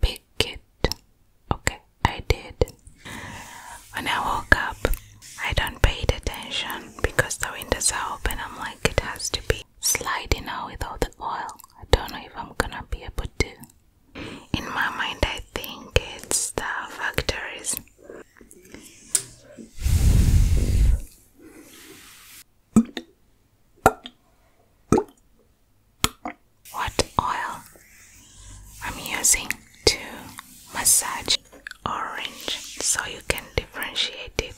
Pick it. Okay, I did. When I woke up, I don't pay attention because the windows are open. I'm like, it has to be sliding out with all the oil. I don't know if I'm gonna be able to. In my mind, I think it's the factories. What oil I'm using to massage orange so you can differentiate it.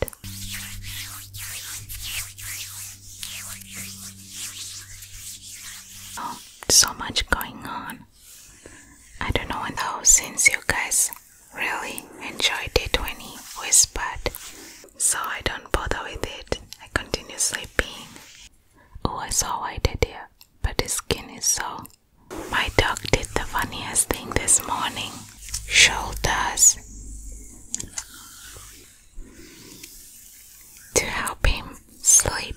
Oh, so much going on. I don't know though, since you guys really enjoyed it when he whispered so I don't bother with it. I continue sleeping. Oh, I saw I did deer, but the skin is so. My dog did the funniest thing this morning. Shoulders. To help him sleep.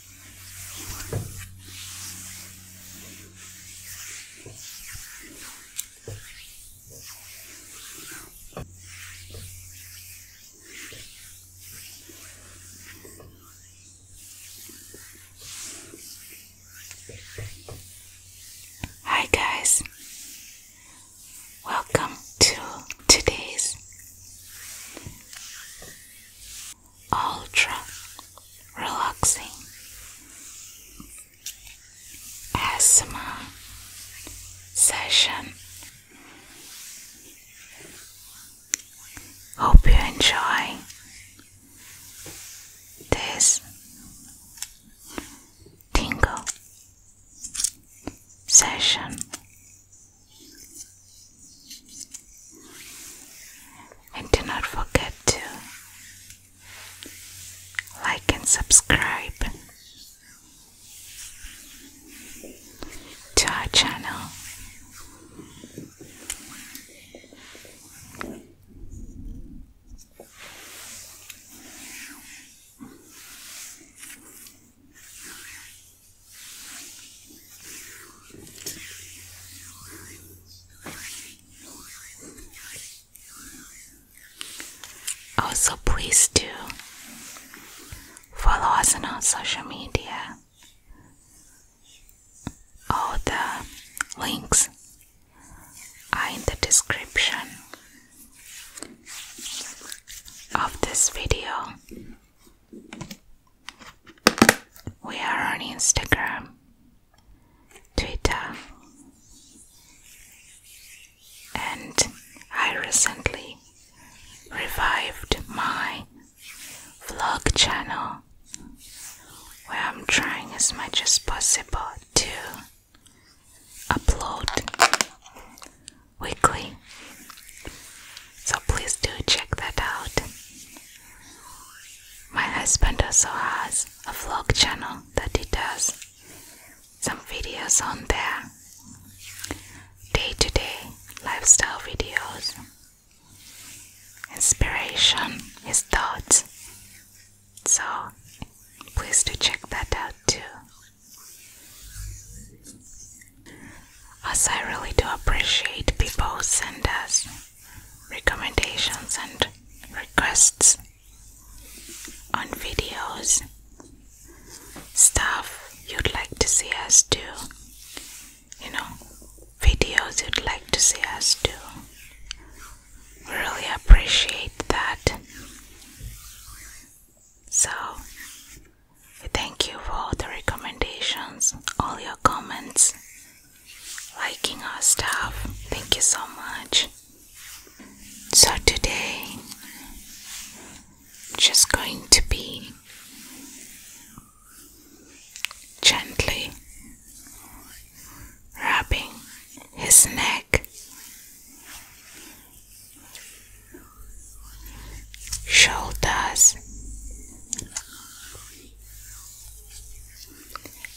Hi, guys, welcome to today's ultra relaxing ASMR session. Hope you enjoy this tingle session. And do not forget to like and subscribe to our channel. Also, please do follow us on our social media. All the links are in the description of this video. We are on Instagram, Twitter, and I recently revived my vlog channel where I'm trying as much as possible to upload weekly so please do check that out. My husband also has a vlog channel that he does some videos on there. Day to day lifestyle videos, inspiration, his thoughts. So please do check that out too. Us, I really do appreciate people who send us recommendations and requests on videos, stuff you'd like to see us do, you know, videos you'd like to see us do. really appreciate that. So, Thank you for all the recommendations, all your comments, liking our stuff. Thank you so much. So, today, just going to be gently rubbing his neck shoulders,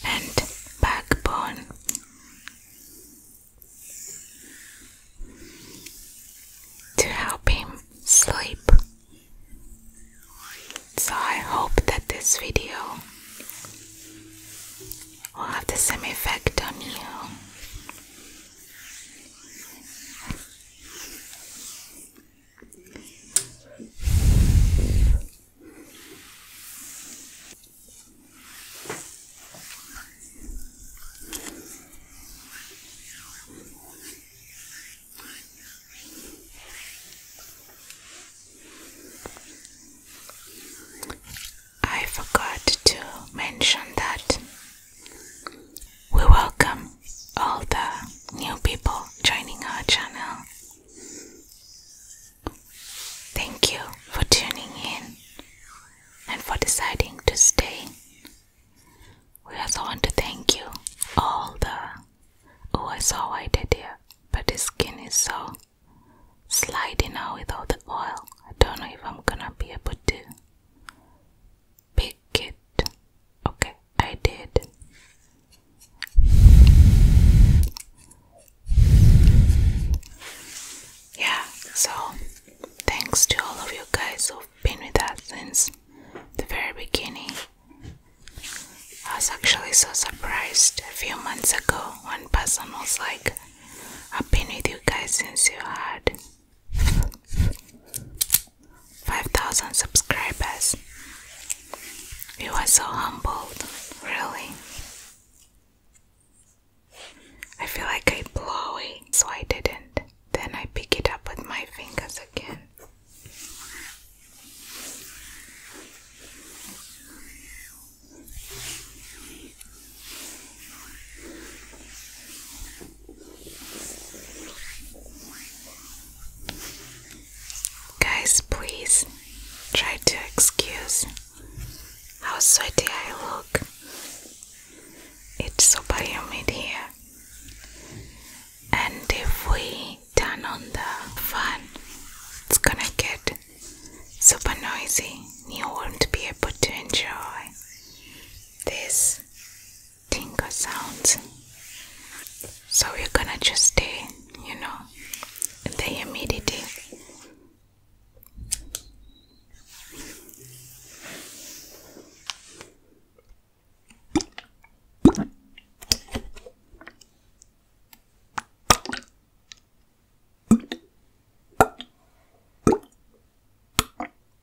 and backbone. To help him sleep. So, I hope that this video will have the same effect on you. I forgot to mention that we welcome all the new people joining our channel. Thank you for tuning in and for deciding to stay. We also want to thank you all the oh I saw I did here, but the skin is so sliding now with all the oil. I don't know if I'm gonna be able to pick it. Okay, I did. Yeah, so thanks to all of you guys who've been with us since the very beginning. I was actually so surprised a few months ago. One person was like, I've been with you guys since you had 5,000 subscribers. You were so humbled, really. I feel like I blow it, so I didn't. Then I pick it up with my fingers again. Guys, please try to excuse how sweaty I look. It's super humid here. And if we turn on the fan, it's gonna get super noisy. You won't be able to enjoy this tinker sounds. So we're gonna just stay, you know, in the humidity.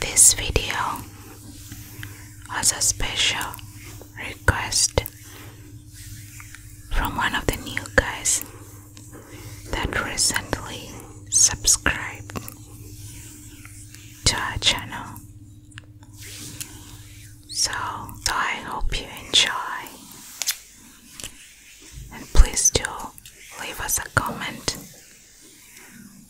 This video was a special request from one of the new guys that recently subscribed to our channel. So, so I hope you enjoy and please do leave us a comment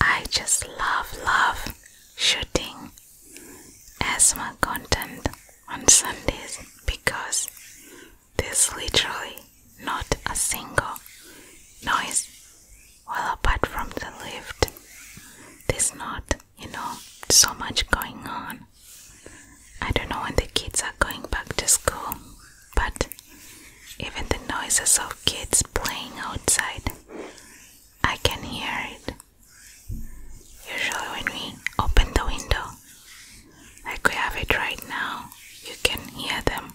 I just love, love shooting asthma content on Sundays because there's literally not a single noise. Well, apart from the lift, there's not, you know, so much going on. I don't know when the kids are going back to school but even the noises of kids playing outside, I can hear it. Usually, when we open the window, like we have it right now, you can hear them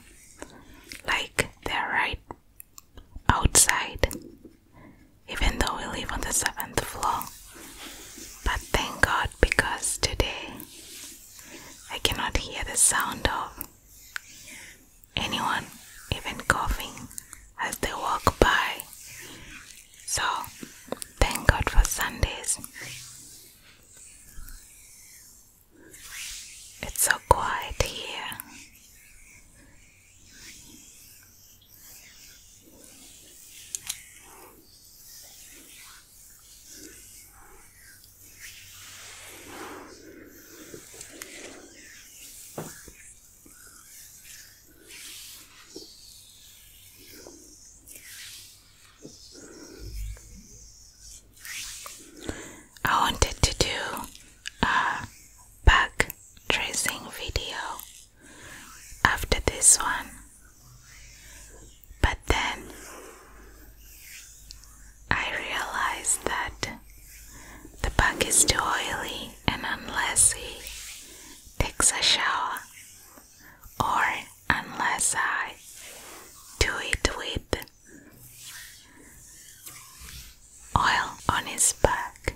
like they're right outside, even though we live on the seventh floor. But thank God because today I cannot hear the sound of anyone, even coughing as they walk by. So, thank God for Sundays. It's so quiet here. I wanted to do a back tracing video after this one, but then I realized that the bug is too oily, and unless he takes a shower, or unless I do it with oil on his back,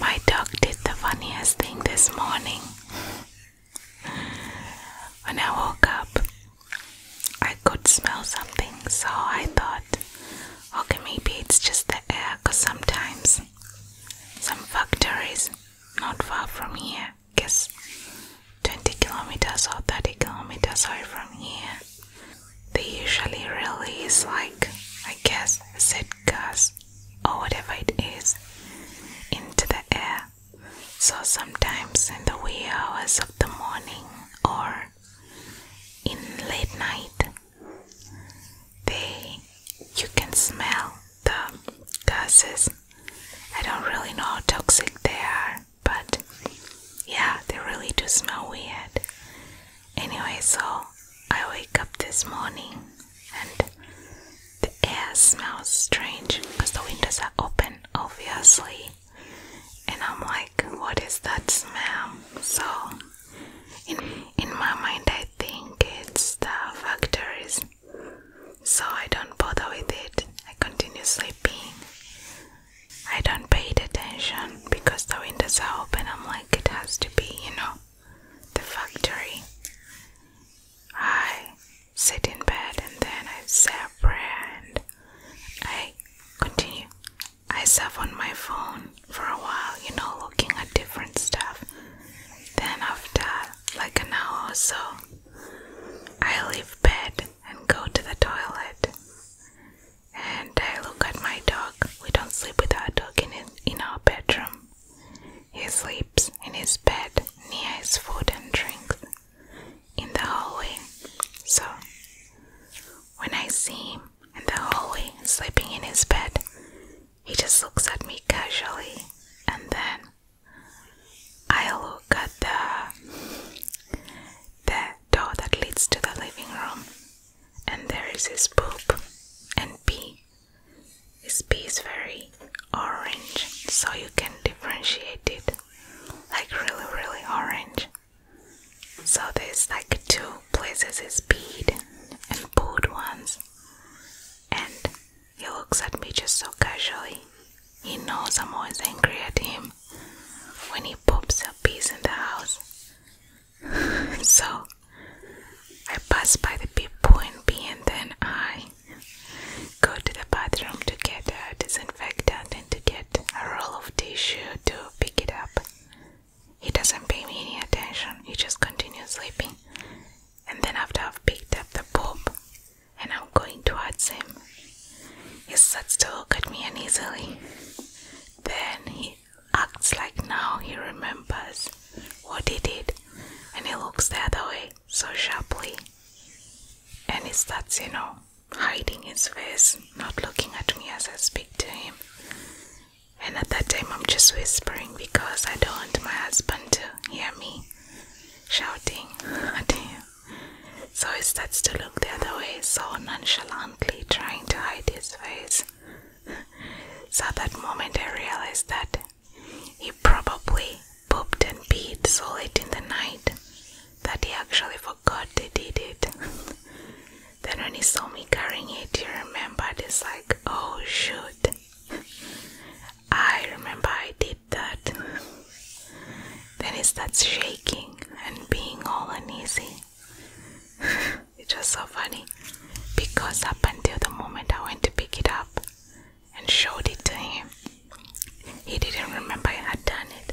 My dog did the funniest thing this morning. When I woke up, I could smell something, so I thought, okay, maybe it's just the air because sometimes some factories not far from here guess 20 kilometers or 30 kilometers away from here. They usually release, like, I guess, said gas or whatever it is into the air. So sometimes in the wee hours of the morning or in late night, they you can smell the gases I don't really know how toxic they are, but yeah, they really do smell weird. Anyway, so I wake up this morning and the air smells strange because the windows are open, obviously. And I'm like, what is that smell? So, in, in my mind, I think it's the factories so I don't bother with it. I continue sleeping. I don't pay attention because the windows are open. I'm like, it has to be, you know, the factory. I sit in bed and then I say a prayer and I continue. I surf on my phone for a while, you know, looking at different stuff. Then, after like an hour or so, I leave bed and go to the toilet. And I look at my dog. We don't sleep with our dog in, in our bedroom. He sleeps in his bed near his food and drink in the hallway. So, when I see him in the hallway sleeping in his bed, he just looks at me casually and then I look at the the door that leads to the living room, and there is his poop and pee. His pee is very orange, so you can differentiate it, like really, really orange. So there's like two places his pee and pooed ones, and he looks at me just so casually. He knows I'm always angry at him when he pops a piece in the house. so I pass by the big and B and then I go to the bathroom to get a disinfectant and to get a roll of tissue to pick it up. He doesn't pay me any attention, he just continues sleeping. And then after I've picked up the poop, and I'm going towards him. He starts to look at me uneasily. Then he acts like now he remembers what he did and he looks the other way so sharply. And he starts, you know, hiding his face, not looking at me as I speak to him. And at that time, I'm just whispering because I don't want my husband to hear me shouting at him so he starts to look the other way so nonchalantly trying to hide his face so at that moment i realized that he probably pooped and peed so late in the night that he actually forgot he did it then when he saw me carrying it he remembered it's like oh shoot i remember i did that, then it starts shaking and being all uneasy. it's just so funny because up until the moment I went to pick it up and showed it to him, he didn't remember I had done it.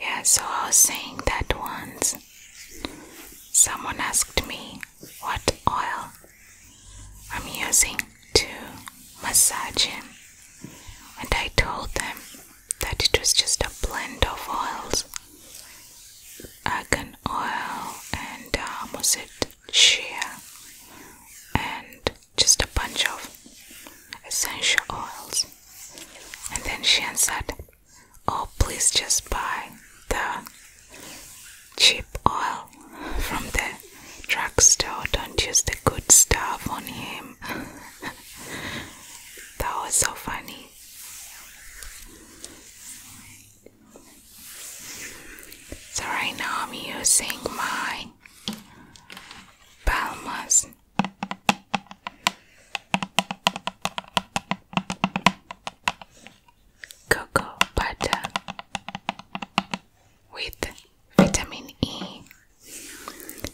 Yeah, so I was saying that once. Someone asked me what oil I'm using to massage him, and I told them that it was just a blend of oils argan oil and um, was it shea and just a bunch of essential oils. And then she answered, Oh, please just buy the cheap oil from the drugstore. Don't use the good stuff on him. that was so funny. So, right now I'm using my Balma's Cocoa butter with vitamin E.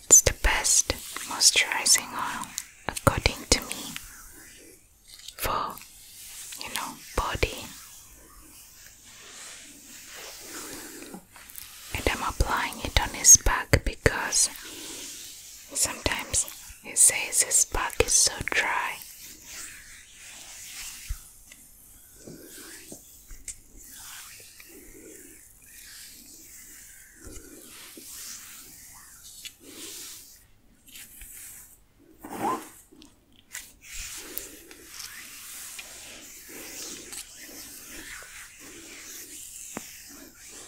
It's the best moisturizing oil, according to me, for you know, body. And I'm applying it on his back because Sometimes he says his back is so dry.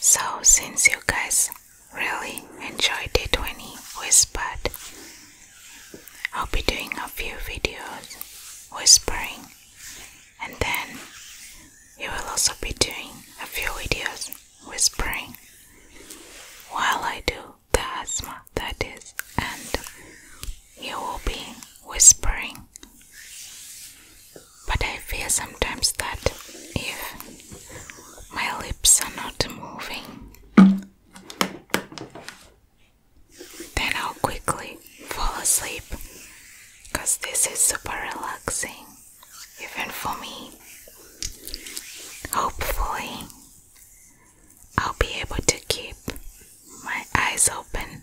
So, since you guys really enjoyed it when he whispered, I'll be doing a few videos whispering, and then you will also be doing a few videos whispering while I do the asthma that is, and you will be whispering. But I fear sometimes that if my lips are not moving, then I'll quickly fall asleep because this is super relaxing, even for me. Hopefully, I'll be able to keep my eyes open.